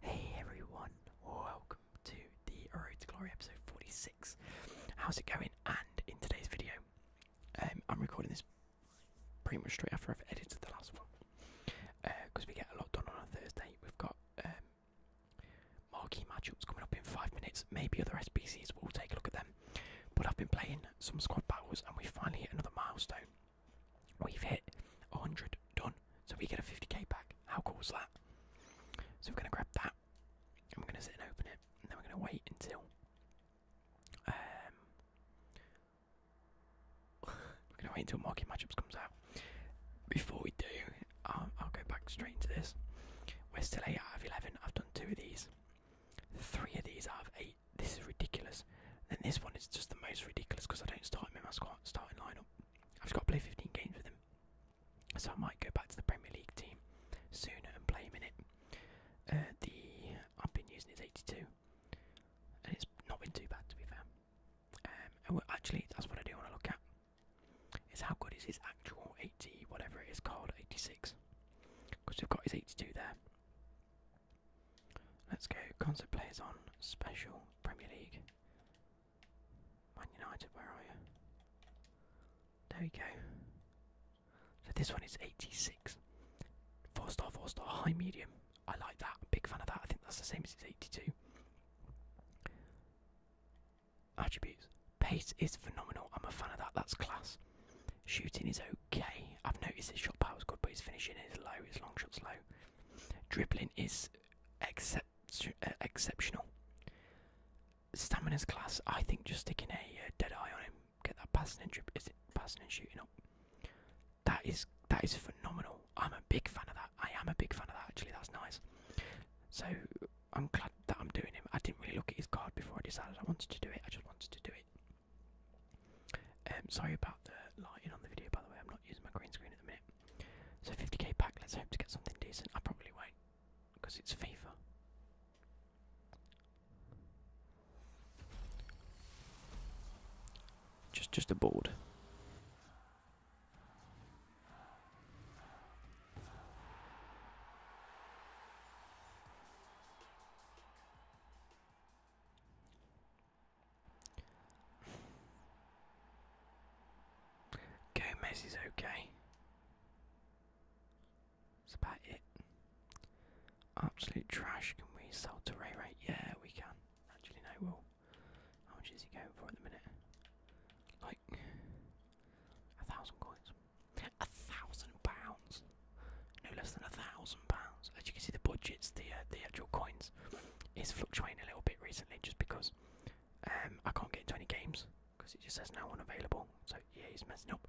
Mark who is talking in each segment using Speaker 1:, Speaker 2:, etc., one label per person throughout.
Speaker 1: Hey everyone, welcome to the Road to Glory episode 46. How's it going? And in today's video, um, I'm recording this pretty much straight after I've edited the last one because uh, we get a lot done on a Thursday. We've got um, marquee matchups coming up in five minutes. Maybe other SBCs, we'll take a look at them. But I've been playing some squad battles and we finally hit another milestone We've hit 100 done, so we get a 50k back. How cool is that? So we're gonna grab that. I'm gonna sit and open it, and then we're gonna wait until um we're gonna wait until market matchups comes out. Before we do, um, I'll, go back straight into this. We're still eight out of eleven. I've done two of these, three of these out of eight. This is ridiculous. And this one is just the most ridiculous because I don't start him in my squad starting lineup. I've got to play 15 games with him. So I might go back to the Premier League team sooner and play him in it. Uh, the I've been using is 82, and it's not been too bad to be fair. Um, and actually, that's what I do want to look at. Is how good is his actual 80, whatever it is called, 86? Because we've got his 82 there. Let's go. Concert players on special Premier League. Man United, where are you? There we go. So this one is 86. Four star, four star, high medium. I like that. I'm big fan of that. I think that's the same as 82. Attributes. Pace is phenomenal. I'm a fan of that. That's class. Shooting is okay. I've noticed his shot power is good, but his finishing is low. His long shot's low. Dribbling is except exceptional. Stamina's class, I think just sticking a uh, dead eye on him, get that passing and drip, is it passing and shooting up? That is that is phenomenal. I'm a big fan of that. I am a big fan of that. Actually, that's nice. So I'm glad that I'm doing him. I didn't really look at his card before I decided I wanted to do it. I just wanted to do it. Um, sorry about the lighting on the video, by the way. I'm not using my green screen at the minute. So 50k pack, let's hope to get something decent. I probably won't, because it's FIFA. Just just a board. Gomez is okay. That's about it. Absolute trash. Can we sell to Ray Ray? Yeah, we can. Actually, no, we'll. How much is he going for at the minute? Like a thousand coins. A thousand pounds. No less than a thousand pounds. As you can see, the budgets, the uh, the actual coins, is fluctuating a little bit recently, just because um, I can't get into any games because it just says no one available. So yeah, he's messing up.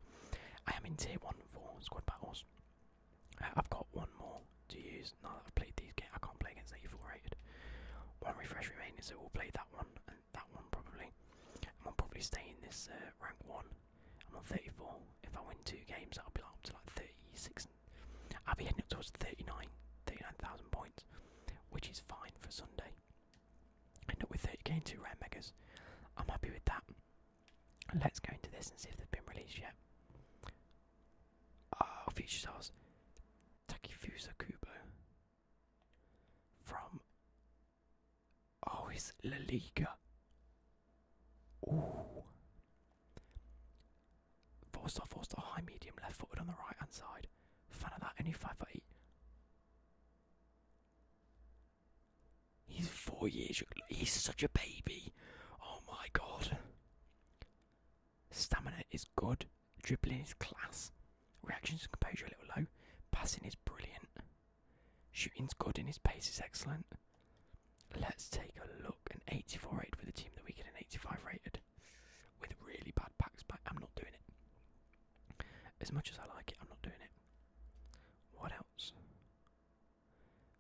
Speaker 1: I am in tier one for squad battles. Uh, I've got one more to use now that I've played these games. I can't play against the four rated. One refresh remaining, so we'll play that one and that one probably. I'm probably staying in this uh, rank one. I'm on 34. If I win two games, i will be like up to like 36. I'll be heading up towards 39, 39,000 points which is fine for Sunday. End up with 30k two rare megas. I'm happy with that. Let's go into this and see if they've been released yet. Oh, Future stars. Takifusa Kubo from Oh, Is La Liga. Ooh. Four star, four star, high, medium, left footed on the right hand side. Fan of that, only five foot eight. He's four years. He's such a baby. Oh my god. Stamina is good. Dribbling is class. Reactions and composure a little low. Passing is brilliant. Shooting's good and his pace is excellent. Let's take a look. An 84 eight with a team that we get an 85 rated with really bad packs, but I'm not doing it. As much as I like it, I'm not doing it. What else?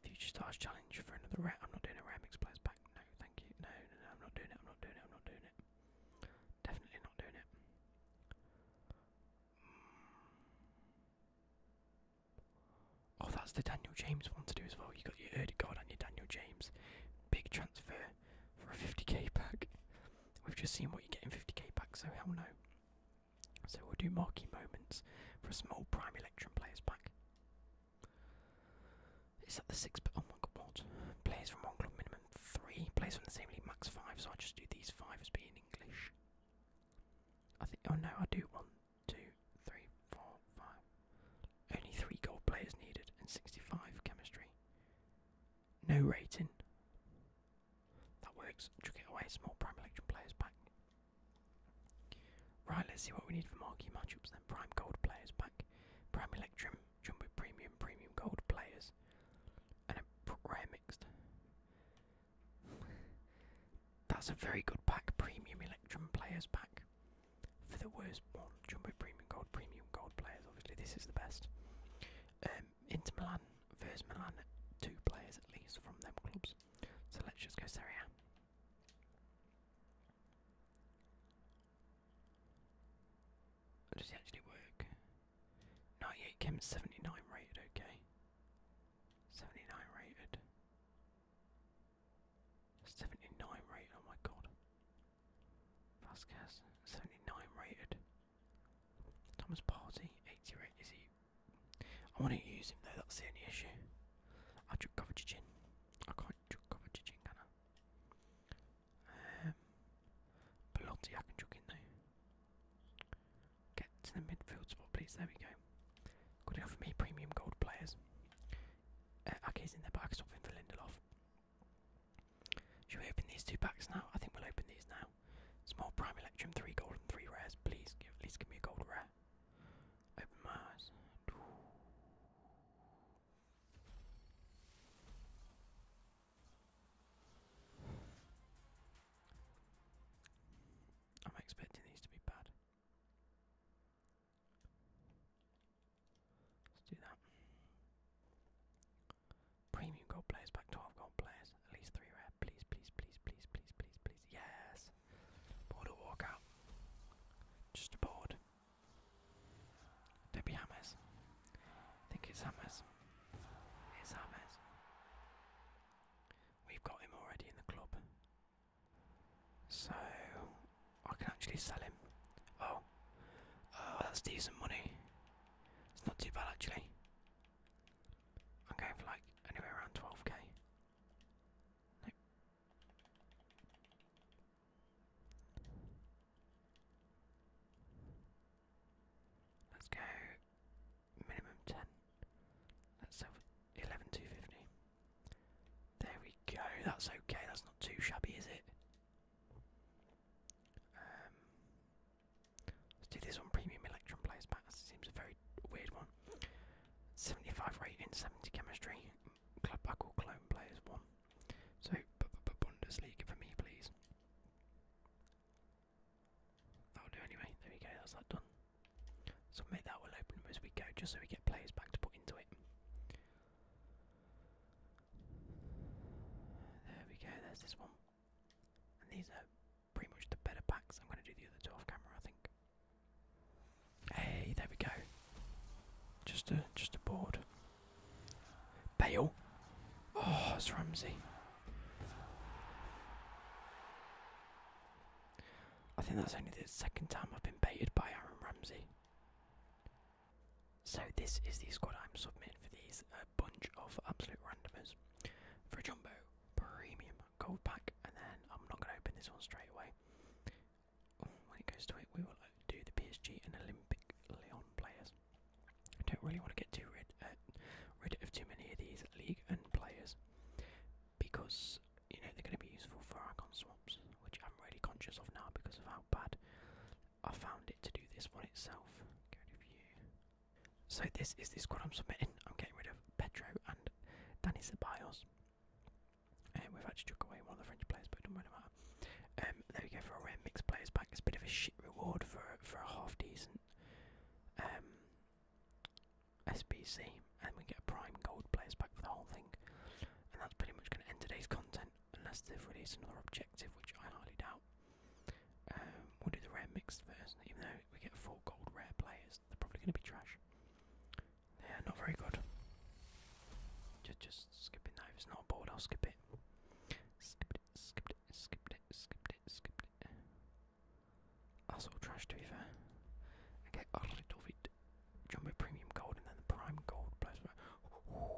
Speaker 1: Future Stars Challenge for another rat. I'm not doing a Ramix Players Pack. No, thank you. No, no, no, I'm not doing it. I'm not doing it. I'm not doing it. Definitely not doing it. Oh, that's the Daniel James one to do as well. You got your oh, god and your Daniel James. Big transfer for a 50k pack. We've just seen what you get in 50k packs, so hell no. So we'll do marquee moments for a small prime electrum players pack. Is that the six? But oh my god, Players from one club minimum three. Players from the same league max five. So I will just do these five as being English. I think. Oh no, I do one, two, three, four, five. Only three gold players needed and 65 chemistry. No rating. That works. Chuck it away. Small prime election players back. Right, let's see what we need for marquee matchups then. Prime gold players back. Prime electrum, jumbo premium, premium gold players. And a rare mixed. That's a very good pack. Premium electrum players back for the worst one. Jumbo Premium Gold, Premium Gold players. Obviously, this is the best. Um, Inter Milan versus Milan, two players at least from them clubs. So let's just go Serie Does it actually work? 98 came 79 rated, okay. 79 rated. 79 rated, oh my god. Vasquez, 79 rated. Thomas Party, 80 Is he? I want to use him though, that's the only issue. I'll just cover Jin. I can't just cover Jin, can I? Um, I can chuck in though. Get to the midfield spot, please. There we go. Good enough for me, premium gold players. Uh, okay, he's in there, but I him for Lindelof. Should we open these two packs now? I think we'll open these now. Small Prime Electrum, three gold and three rares. Please give at least give me a gold rare. Open my I'm expecting these to be bad. Let's do that. Premium gold players, back 12 gold players, at least 3 red. Please, please, please, please, please, please, please. Yes! Border walkout. Just a board. Debbie Hammers. I think it's Hammers. It's Hammers. We've got him already in the club. So, I can actually sell him. Oh, Oh, that's decent money. It's not too bad actually. I'm going for like anywhere around 12k. Let's go minimum 10. Let's have 11 There we go. That's okay. That's not too shabby, is it? Um, let's do this one. Premium Electron Players Pack. That seems a very weird one. 75 rating, 70 chemistry. Club Buckle Clone Players 1. So, b -b Bundesliga for me, please. That'll do anyway. There we go. That's that done. So, make that will open as we go, just so we get players back to put into it. There we go, there's this one. And these are pretty much the better packs. I'm going to do the other two off camera, I think. Hey, there we go. Just a just a board. Bale. Oh, it's Ramsey. I think that's only the second time I've been baited by Aaron Ramsey. So this is the squad I'm submitting for these bunch of absolute randomers. For a jumbo, premium gold pack, and then I'm not going to open this one straight away. When it goes to it, we will do the PSG and Olympic Leon players. I don't really want to get too rid uh, rid of too many of these league and players because you know they're going to be useful for icon swaps, which I'm really conscious of now because of how bad I found it to do this one itself. So this is the squad I'm submitting. I'm getting rid of Pedro and Danny Ceballos. And um, we've actually took away one of the French players, but it doesn't really matter. Um, there we go for a rare mixed players pack. It's a bit of a shit reward for for a half decent um, SBC, and we get a prime gold players pack for the whole thing. And that's pretty much going to end today's content point, unless they've released another objective, which I highly doubt. Um, we'll do the rare mixed version, even though we get four gold rare players, they're probably going to be trash. They're not very good. Just, just skipping that. If it's not a board, I'll skip it. Skipped it, skipped it, skipped it, skipped it, skipped it. That's all trash, to be fair. I get a lot of it. Jumbo Premium Gold and then the Prime Gold. Plus, oh,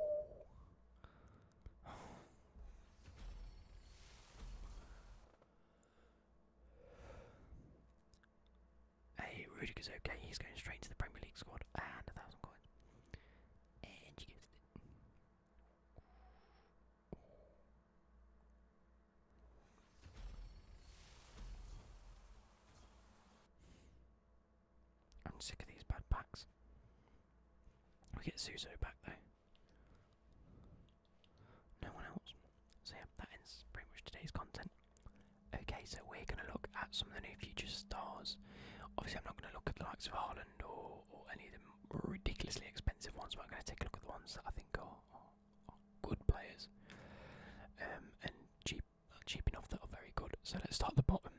Speaker 1: hey, is okay. He's going straight to the Premier League squad and a thousand coins. I'm sick of these bad packs. We get Suso back though. No one else. So yeah, that ends pretty much today's content. Okay, so we're gonna look at some of the new future stars. Obviously, I'm not gonna look at the likes of Holland or, any of the ridiculously expensive ones, but I'm gonna take a look at the ones that I think are, good players um, and cheap enough that are very good. So let's start at the bottom.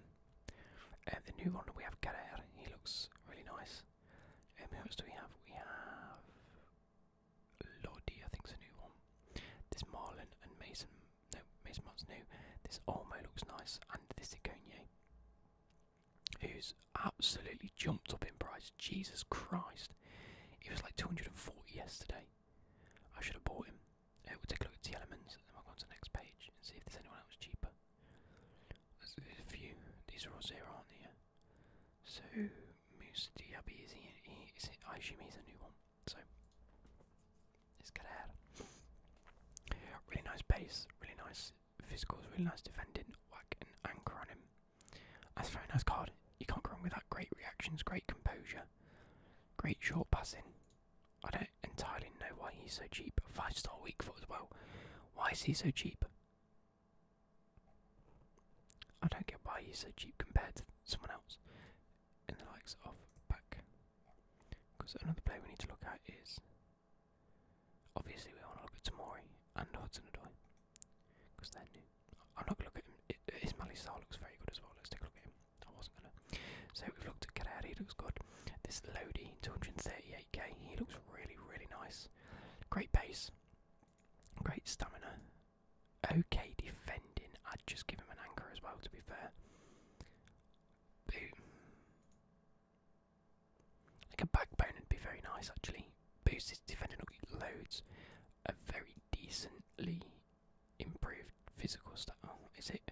Speaker 1: Um, the new one we have Carrere, he looks really nice. Um, who else do we have? We have Lodi, I think it's a new one. This Marlin and Mason, no, Mason's Mart's new. This Olmo looks nice, and this Iconye, who's absolutely jumped up in price. Jesus Christ, he was like 240 yesterday. I should have bought him. Uh, we'll take a look at the elements, and then we'll go on to the next page and see if there's anyone else cheaper. There's a few. These are all zero, aren't they? So Moose Diaby is he, he is he, I assume he's a new one. So let's get ahead. Really nice base, really nice physicals, really nice defending, Work and anchor on him. That's very nice card. You can't go wrong with that. Great reactions, great composure, great short passing. I don't entirely know why he's so cheap. Five star weak foot as well. Why is he so cheap? I don't get why he's so cheap compared to someone else in the likes of back. Because another player we need to look at is obviously we want to look at Tamori and Hudson because they're new. I'm not going to look at him. It, Ismaili looks very good as well. Let's take a look at him. I wasn't going to. So we've looked at Carrera, he looks good. This Lodi, 238k, he looks really, really nice. Great pace, great stamina. Okay, defending. I'd just give him an anchor as well, to be fair. Like a backbone would be very nice, actually. Boosts his defending up loads. A very decently improved physical stat. Oh, is it?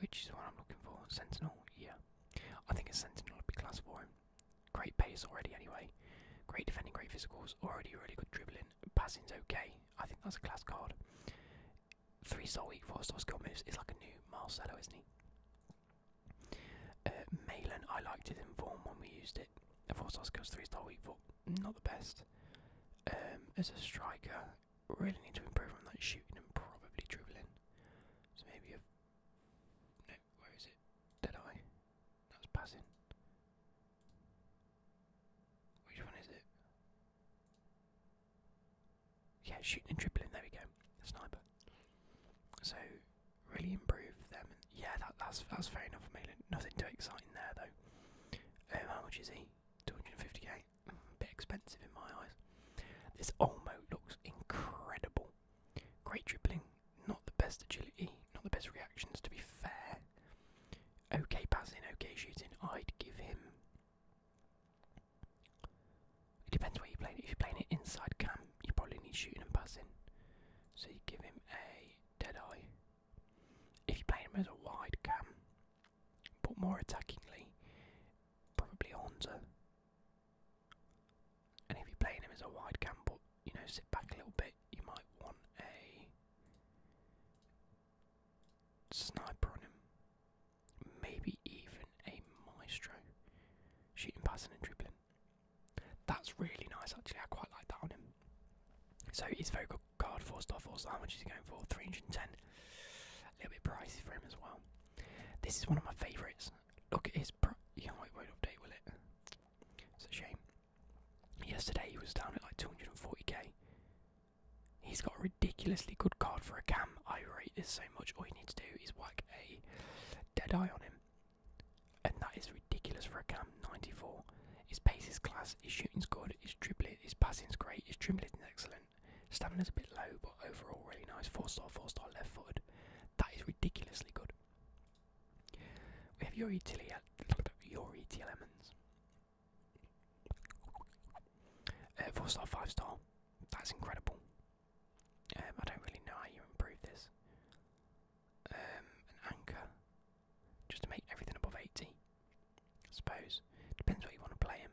Speaker 1: Which is what I'm looking for. Sentinel, yeah. I think a Sentinel would be class for him. Great pace already, anyway. Great defending, great physicals. Already really good dribbling. Passing's okay. I think that's a class card. Three star week, four star skill moves. Is like a new Marcelo, isn't he? Uh, I liked it in form when we used it. Four star skills, three star week, foot. Not the best. Um, as a striker, really need to improve on that shooting and probably dribbling. So maybe a no, where is it? Dead eye. That's passing. Which one is it? Yeah, shooting and dribbling. There we go. sniper. So really improve them. And yeah, that's that's fair enough, for me. Nothing too exciting there though. how much is he? Two hundred and fifty k bit expensive in my eyes. This Olmo looks incredible. Great dribbling, not the best agility, not the best reactions to be fair. Okay passing, okay shooting, I'd give him. It depends where you're it. If you're playing it inside cam, you probably need shooting and passing. So you give him a dead eye. If you are playing him as a wide cam, but more attackingly, probably Honza. And if you're playing him as a wide gamble, you know, sit back a little bit, you might want a sniper on him. Maybe even a maestro. Shooting, passing, and dribbling. That's really nice, actually. I quite like that on him. So he's very good card, 4 star, 4 star. How much is he going for? 310. A little bit pricey for him as well. This is one of my favourites. Look at his. Pro yeah, it will update, will it? It's a shame. Yesterday he was down at like 240k. He's got a ridiculously good card for a cam. I rate this so much. All you need to do is whack a dead eye on him, and that is ridiculous for a cam. 94. His pace is class. His shooting's good. His dribbling, his passing's great. His dribbling's excellent. Stamina's a bit low, but overall really nice. Four star, four star left footed. That is ridiculously good. We have Yuri Tilly at Yuri T four star, five star. That's incredible. Um, I don't really know how you improve this. Um, an anchor, just to make everything above 80. I suppose depends where you want to play him.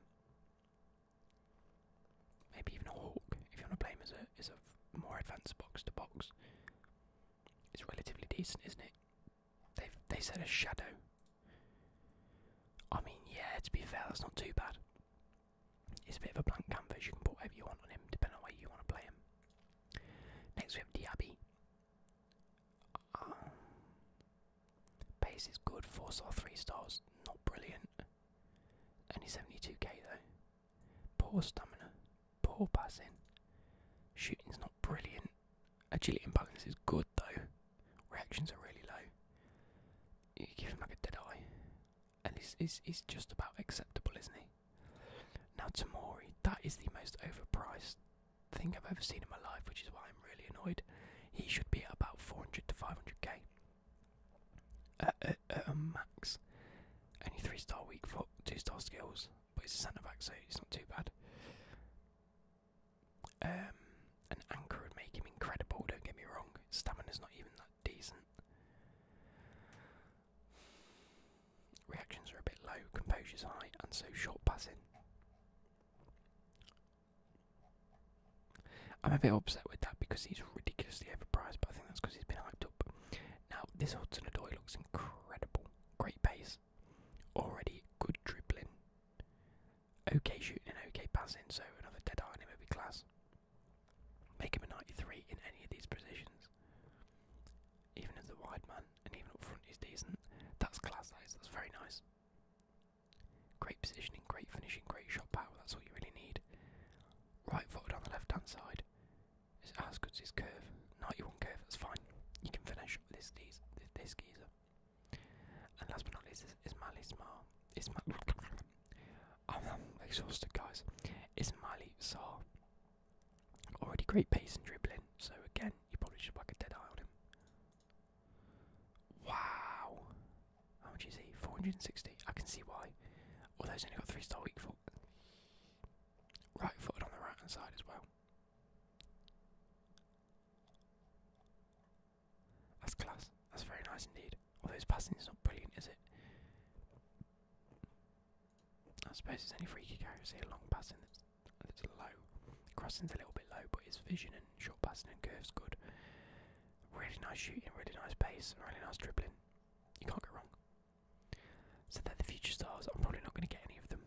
Speaker 1: Maybe even a hawk, if you want to play him as a as a more advanced box to box. It's relatively decent, isn't it? They've they said a shadow. I mean, yeah, to be fair, that's not too bad. It's a bit of a blank canvas, you can put whatever you want on him, depending on where you want to play him. Next we have Diaby. Um, base is good, 4 star, 3 stars, not brilliant. Only 72k though. Poor stamina, poor passing. Shooting's not brilliant. Agility and balance is good though. Reactions are really low. You give him like a dead eye. And he's, just about acceptable, isn't he? Now, Tamori, that is the most overpriced thing I've ever seen in my life, which is why I'm really annoyed. He should be about 400 to 500k at, at, at a max. Only three star weak for two star skills, but it's a centre back, so it's not too bad. Um, an anchor would make him incredible. Don't get me wrong. Stamina's not even that decent. Reactions are a bit low, composure's high, and so short passing. I'm a bit upset with that because he's ridiculously overpriced, but I think that's because he's been hyped up. Now, this Hudson Odoi looks incredible. Great pace. Already good dribbling. Okay shooting and okay passing, so another dead eye on him would be class. Make him a 93 in any of these positions. Even as a wide man, and even up front, he's decent. That's class, that is. That's very nice. Great positioning, great finishing, great shot power. That's all you really need. Right footed on the left hand side. Is as good as his curve. 91 curve, that's fine. You can finish this this, geezer. And last but not least is Ismail Ismail. Ismail I'm, I'm exhausted guys. Ismail Sar. Already great pace and dribbling, so again you probably should whack a dead eye on him. Wow. How much is he? 460. I can see why. Although he's only got three star weak foot. Right footed on the right hand side as well. That's class. That's very nice indeed. Although his passing is not brilliant, is it? I suppose it's only free kick accuracy and long passing that's, that's low. Crossing's a little bit low, but his vision and short passing and curve's good. Really nice shooting, really nice pace, really nice dribbling. You can't go wrong. So that the future stars, I'm probably not going to get any of them.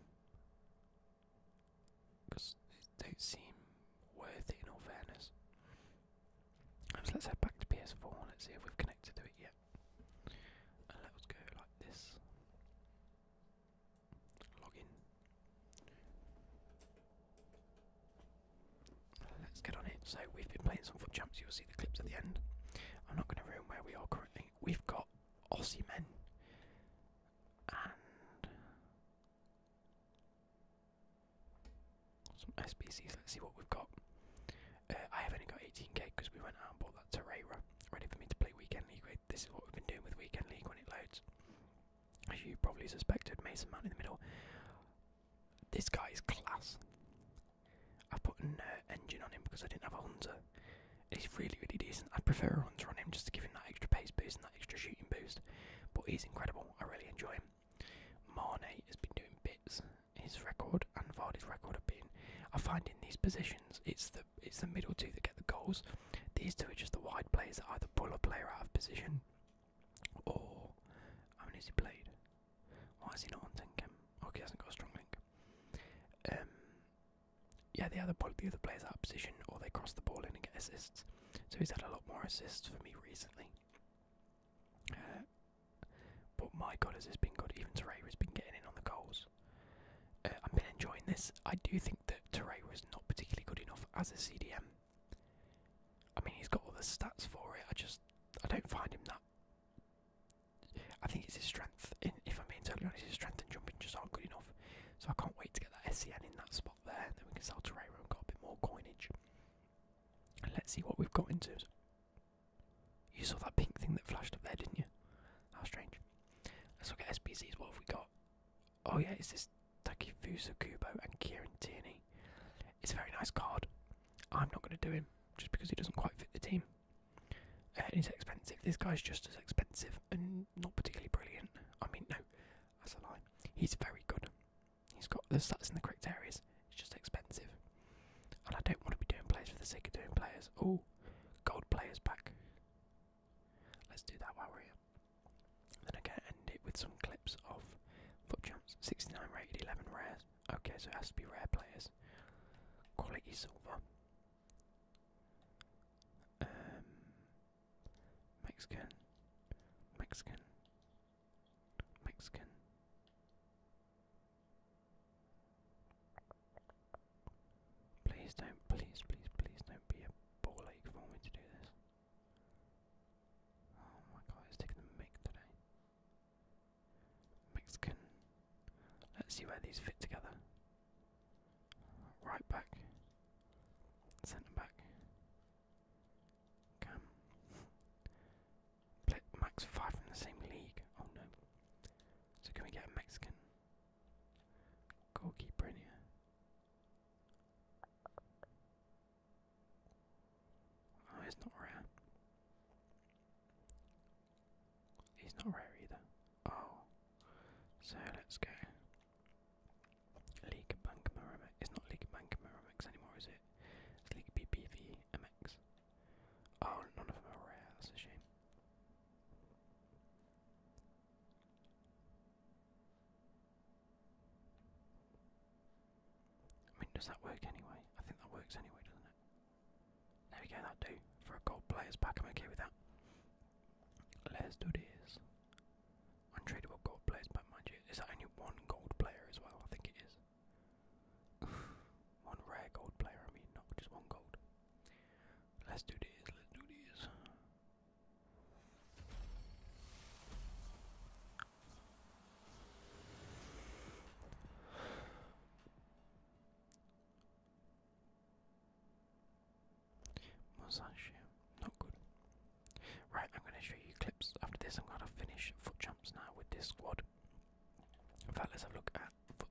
Speaker 1: Because they don't seem worthy. in all fairness. So let's head back to PS4 let's see if we've connected to it yet. let's go like this. Log Let's get on it. So we've been playing some foot jumps. You'll see the clips at the end. I'm not going to ruin where we are currently. We've got Aussie men and some SBCs. Let's see what we've got. Uh, I have only got 18k because we went out and bought that Terreira ready for me to play Weekend League with. This is what we've been doing with Weekend League when it loads. As you probably suspected, Mason Man in the middle. This guy is class. I put an uh, engine on him because I didn't have a hunter. He's really, really decent. I'd prefer a hunter on him just to give him that extra pace boost and that extra shooting boost. But he's incredible. I really enjoy him. Marne has been doing bits. His record and Vardy's record have been. I find in these positions, it's the it's the middle two that get the goals. These two are just the wide players that either pull a player out of position or, I mean, is he played? Why is he not on 10 cam? Okay, he hasn't got a strong link. Um, yeah, the other, the other players out of position, or they cross the ball in and get assists. So he's had a lot more assists for me recently. Uh, but my god, has he been good? Even Torreira's been getting in on the goals. Uh, I've been enjoying this. I do think that Torreira is not particularly good enough as a CDM. I mean, he's got all the stats for it. I just I don't find him that I think it's his strength. if I'm being totally honest, his strength and jumping just aren't good enough. So I can't wait to get that SCN in that spot there. and Then we can sell Torreira and get a bit more coinage. let's see what we've got into. you saw that pink thing that flashed up there, didn't you? How strange. Let's look at SPZs. What have we got? Oh yeah, it's this Takifusa Kubo and Kieran Tierney. It's a very nice card. I'm not going to do him just because he doesn't quite fit the team. Uh, he's expensive. This guy's just as expensive and not particularly brilliant. I mean, no, that's a lie. He's very good. He's got the stats in the correct areas. It's just expensive. And I don't want to be doing players for the sake of doing players. Oh, gold players back. Let's do that while we're here. Then I can end it with some clips of foot jumps. 69 rated, 11 rares. Okay, so it has to be rare players. Quality silver. Um, Mexican, Mexican, Mexican. Please don't, please, please, please don't be a ball ache for me to do this. Oh my god, it's taking the mic today. Mexican. Let's see where these fit together. Right back, centre back, Cam. max five from the same league. Oh no. So can we get a Mexican goalkeeper in here? Oh, it's not rare. He's not rare either. Oh, so let's go. League Bankamur MX. It's not League Bankamur MX anymore, is it? It's League BBV Oh, none of them are rare. That's a shame. I mean, does that work anyway? I think that works anyway, doesn't it? There we go, that do. For a gold player's pack, I'm okay with that. Let's do this. Untradeable gold players pack, mind Is that only one gold player as well? I think it is. one rare gold player, I mean, not just one gold. Let's do this, let's do this. Musashi, not good. Right, I'm going to show you clips. After this, I'm going to finish foot jumps now with this squad. In fact, let's have a look at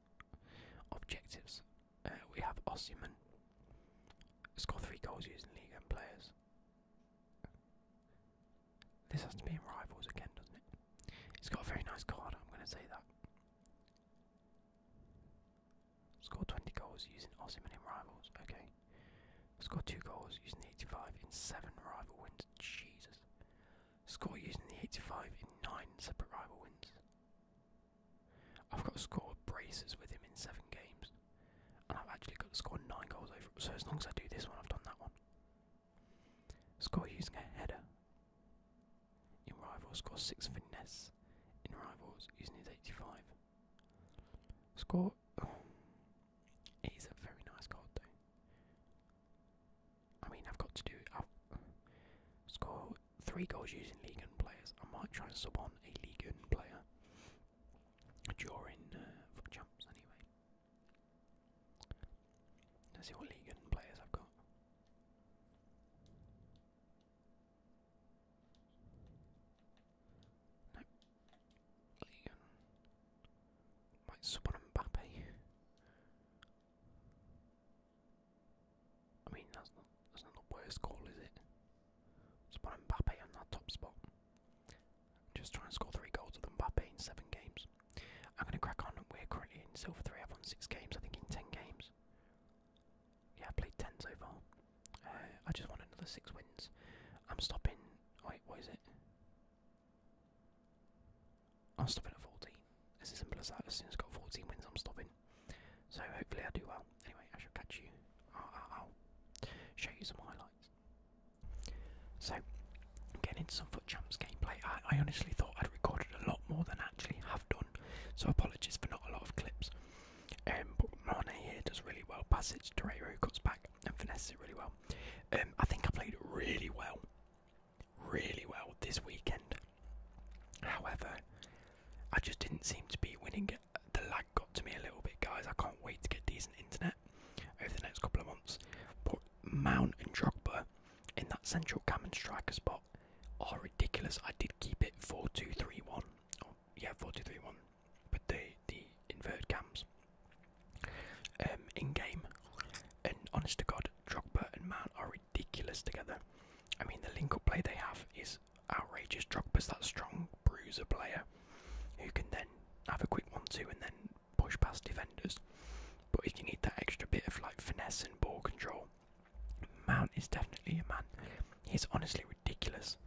Speaker 1: objectives. Uh, we have Ossiman. Score three goals using League and players. This has to be in Rivals again, doesn't it? It's got a very nice card, I'm going to say that. Score 20 goals using Osimhen in Rivals, okay. Score 2 goals using the 85 in 7 rival wins, Jesus. Score using the 85 in 9 separate rival wins. I've got to score braces with him in 7 games. And I've actually got to score 9 goals over. So as long as I do this one, I've done that one. Score using a header. In Rivals, score 6 for In Rivals, using his 85. Score. Oh, a very nice card, I mean, I've got to do. i score 3 goals using League players. I might try and sub on a League player during uh, for jumps, anyway. Let's see what league players I've got. Nope. League and might Mbappe. I mean that's not the worst goal, is it? Spawn Mbappe on that top spot. Just try and score three goals with Mbappe in seven games. I'm going to crack on. We're currently in Silver 3. I've won 6 games, I think, in 10 games. Yeah, I've played 10 so far. Uh, I just want another 6 wins. I'm stopping. Wait, what is it? I'm stopping at 14. It's as simple as that. As soon as I've got 14 wins, I'm stopping. So hopefully I do well. Anyway, I shall catch you. I'll, show you some highlights. So, I'm getting into some Champs gameplay. I, honestly thought I'd recorded a lot more than I actually have done, so apologies for not a lot of clips. Um, but Marne here does really well. Passage, Torreiro cuts back and finesses it really well. Um, I think I played really well, really well this weekend. However, I just didn't seem to be winning it. The lag got to me a little bit, guys. I can't wait to get decent internet over the next couple of months. But Mount and Drogba in that central cam and striker spot are ridiculous. I did keep it 4 2 3 1. yeah, 4 2 3 1 with the, the inverted cams um, in game. And honest to God, Drogba and Man are ridiculous together. I mean, the link up play they have is outrageous. Drogba's that strong bruiser player who can then have a quick one two and then push past defenders. But if you need that extra bit of like finesse and ball control, Mount is definitely a man. He's honestly ridiculous.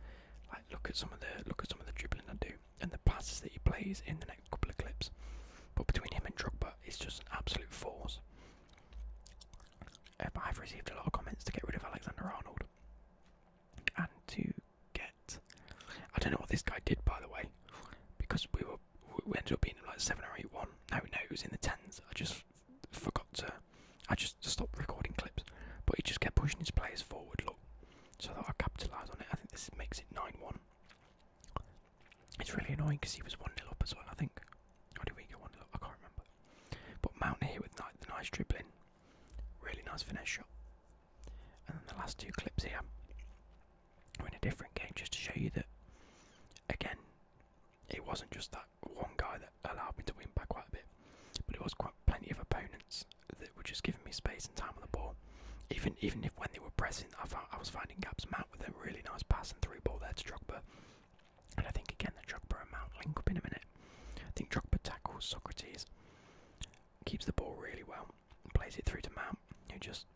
Speaker 1: Like look at some of the look at some of the dribbling I do and the passes that he plays in the next couple of clips. But between him and Drogba, it's just an absolute force. Um, I've received a lot of comments to get rid of Alexander Arnold and to get. I don't know what this guy did by the way, because we were we ended up being like seven or eight one. No, no, it was in the tens. I just forgot to. I just stopped recording clips, but he just kept pushing his players forward. Look, so that I capitalised on it. I think this makes it nine one. It's really annoying because he was one 0 up as well. I think. Or did we go one 0 up? I can't remember. But Mount here with the nice dribbling, really nice finesse shot, and then the last two clips here or in a different game just to show you that again it wasn't just that one guy that allowed me to win by quite a bit but it was quite plenty of opponents that were just giving me space and time on the ball even even if when they were pressing I, found, I was finding gaps Mount with a really nice pass and through ball there to Drogba and I think again the Drogba and Mount link up in a minute I think Drogba tackles Socrates keeps the ball really well plays it through to Mount who just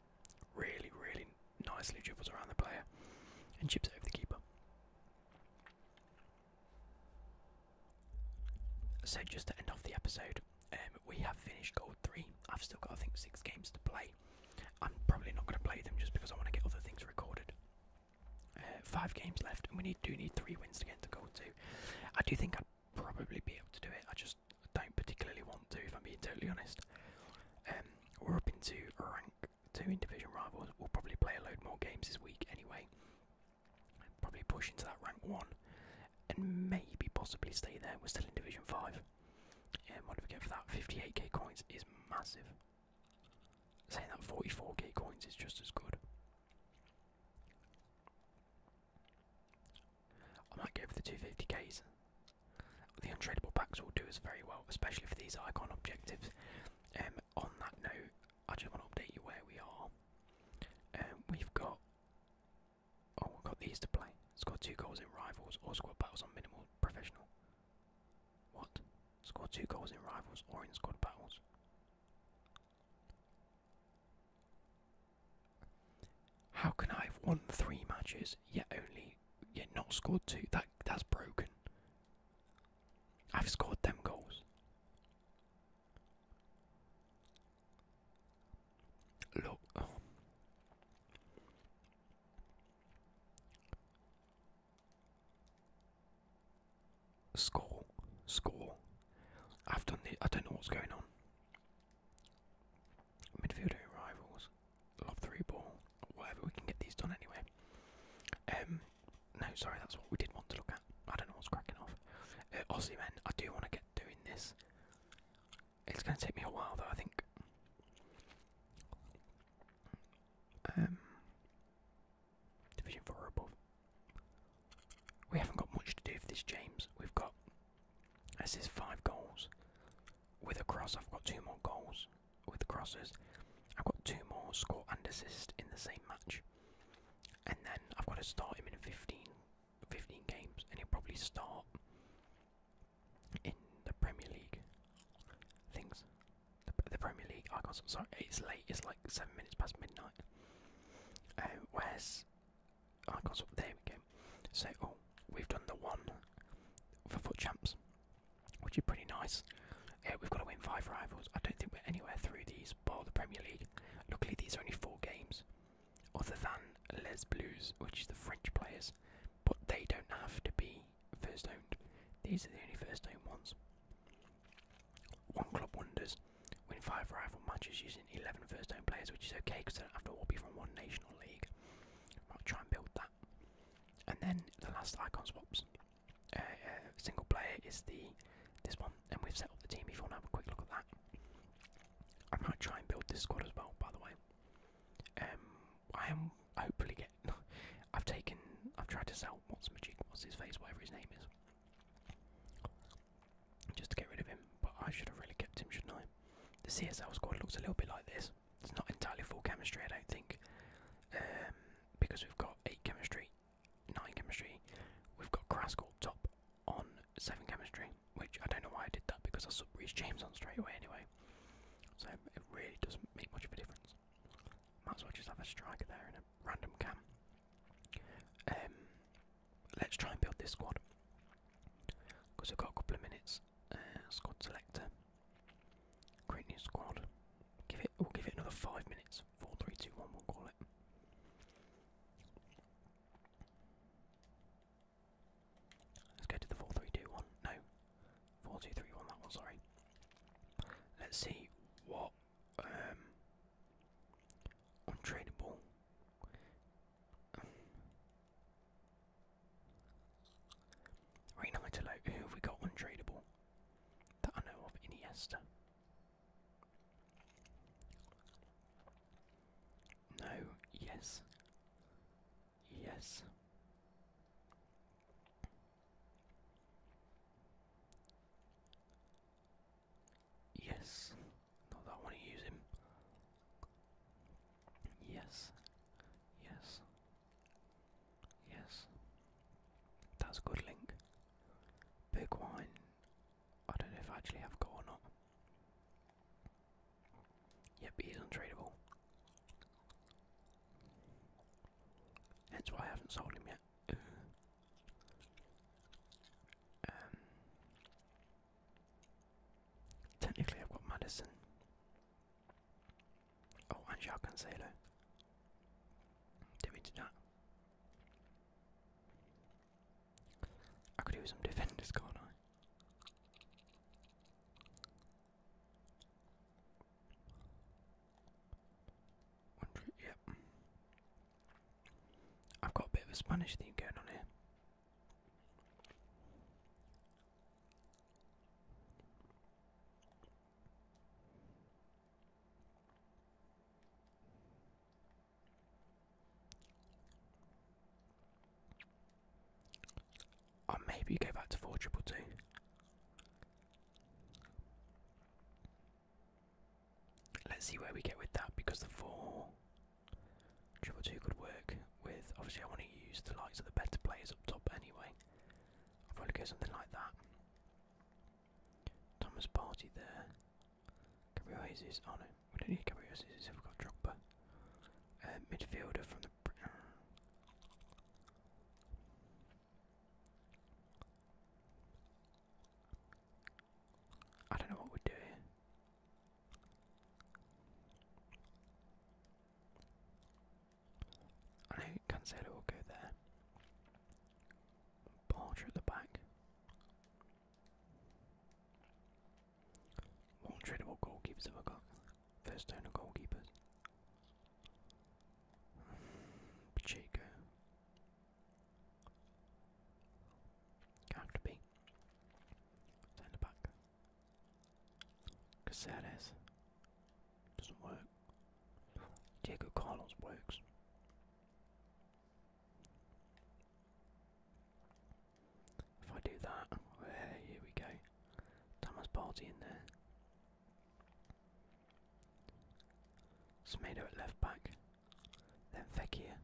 Speaker 1: Really, really nicely dribbles around the player and chips over the keeper. So, just to end off the episode, um, we have finished Gold 3. I've still got, I think, six games to play. I'm probably not going to play them just because I want to get other things recorded. Uh, five games left, and we need do need three wins to get to Gold 2. I do think I'd probably be able to do it. I just I don't particularly want to, if I'm being totally honest. Um, we're up into rank two in division rivals. We'll probably play a load more games this week anyway. Probably push into that rank one, and maybe possibly stay there. We're still in division five. Um, what do we get for that? 58k coins is massive. Saying that 44k coins is just as good. I might go for the 250ks. The untradeable packs will do us very well, especially for these icon objectives. Um, on that note, I just want to update you where we are. Um, we've got oh, we've got these to play. Score two goals in rivals or squad battles on minimal professional. What? Score two goals in rivals or in squad battles. How can I have won three matches yet only you're not scored two. That that's broken. I've scored them goals. Look. Score, score. I've done the. I don't know what's going on. Midfielder rivals love three ball, whatever. We can get these done anyway. Um, no, sorry, that's what we did want to look at. I don't know what's cracking off. Uh, Aussie men, I do want to get doing this. It's going to take me a while though, I think. Um, division four above. We haven't got much to do for this, James. We've got. As is five goals. With a cross, I've got two more goals with crosses. I've got two more score and assist in the same match. And then I've got to start him in 15, games, and he'll probably start in the Premier League things. The, the Premier League, I got some, it's late, it's like 7 minutes past midnight. Uh, where's I got some, there we So, oh, we've done the one for foot champs which is pretty nice. Uh, we've got to win five rivals. I don't think we're anywhere through these bar the Premier League. Luckily, these are only four games, other than Les Blues, which is the French players, but they don't have to be first owned. These are the only first owned ones. One club wonders win five rival matches using 11 first owned players, which is okay because they don't have to all be from one national league. I might try and build that. And then the last icon swaps uh, uh, single player is the this one, and we've set up the team. before. Now, want have a quick look at that, I might try and build this squad as well. By the way, um, I am hopefully getting. I've taken. I've tried to sell what's magic. what's his face, whatever his name is, just to get rid of him. But I should have really kept him, shouldn't I? The CSL squad looks a little bit like this it's not entirely full chemistry, I don't think. Um, because we've got 8 chemistry, 9 chemistry, we've got Kraskell top on 7 chemistry, which I don't know why I did that because I sub Reese James on straight away anyway. So it really doesn't make much of a difference. Might as well just have a striker there in a random cam. Um, let's try and build this squad because we've got a couple of minutes that's uh, squad selector. Create new squad. Give it. We'll give it another five minutes. Four, three, two, one. We'll call it. Let's go to the four, three, two, one. No, four, two, three, one. That one. Sorry. Let's see what um, untradeable. Rain who have we got untradeable? That I know of, Iniesta. No, yes. Yes. Yes. Not that I use him. Yes. Yes. Yes. That's a good link. Big wine. I don't know if I actually have got or not. Yep, he's untradeable. That's why I haven't sold him yet. um, technically, I've got Madison. Oh, and Jacques Cancelo. we do that? I could do some defenders, can't Hundred, yep. I've got a bit of a Spanish theme going on here. Or maybe go back to four triple two. Let's see where we get with that because the four triple two could work with. Obviously, I want to use the likes of the better players up top anyway. I'll probably go something like that. Thomas Party there. Gabriel Jesus. Oh no, we don't need Gabriel Jesus if we've got Drogba. Uh, midfielder from the. I don't know what we'd do here. I know Cancelo will go there. Barger at the back. What goalkeepers have got? First owner goalkeepers. Pacheco. Can't be. Send it back. Casares doesn't work. Diego Carlos works. If I do that, here we go. Thomas Party in there. Smedo at left back. Then Fekir.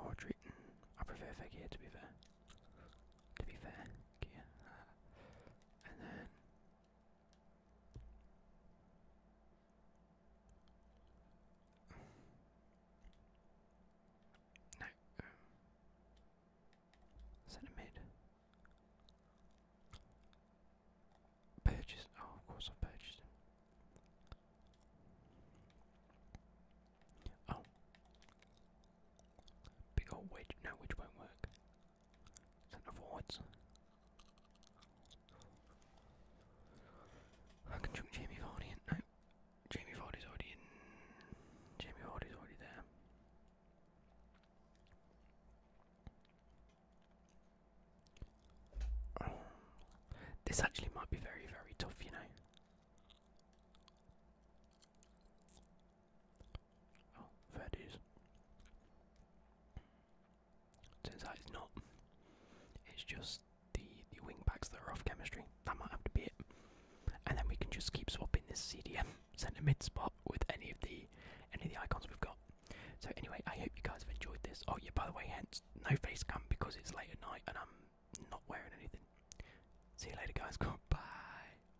Speaker 1: Or Dritten. Mm, I prefer Fekir to be fair. To be fair gear. and then no, um, Purchased. Oh, of course, I purchased Oh, big old wedge. No, which won't work. Centre forwards. I can chuck Jamie Vardy No, Jamie Vardy's already Jamie Vardy's already there. This actually might be very, very tough, you know. Oh, fair dues. Turns it's not. It's just the the wing backs that are off chemistry. That might have to be it. And then we can just keep swapping this CDM centre mid spot with any of the any of the icons we've got. So anyway, I hope you guys have enjoyed this. Oh yeah, by the way, hence no face cam because it's late at night and I'm not wearing anything. See you later, guys. Bye.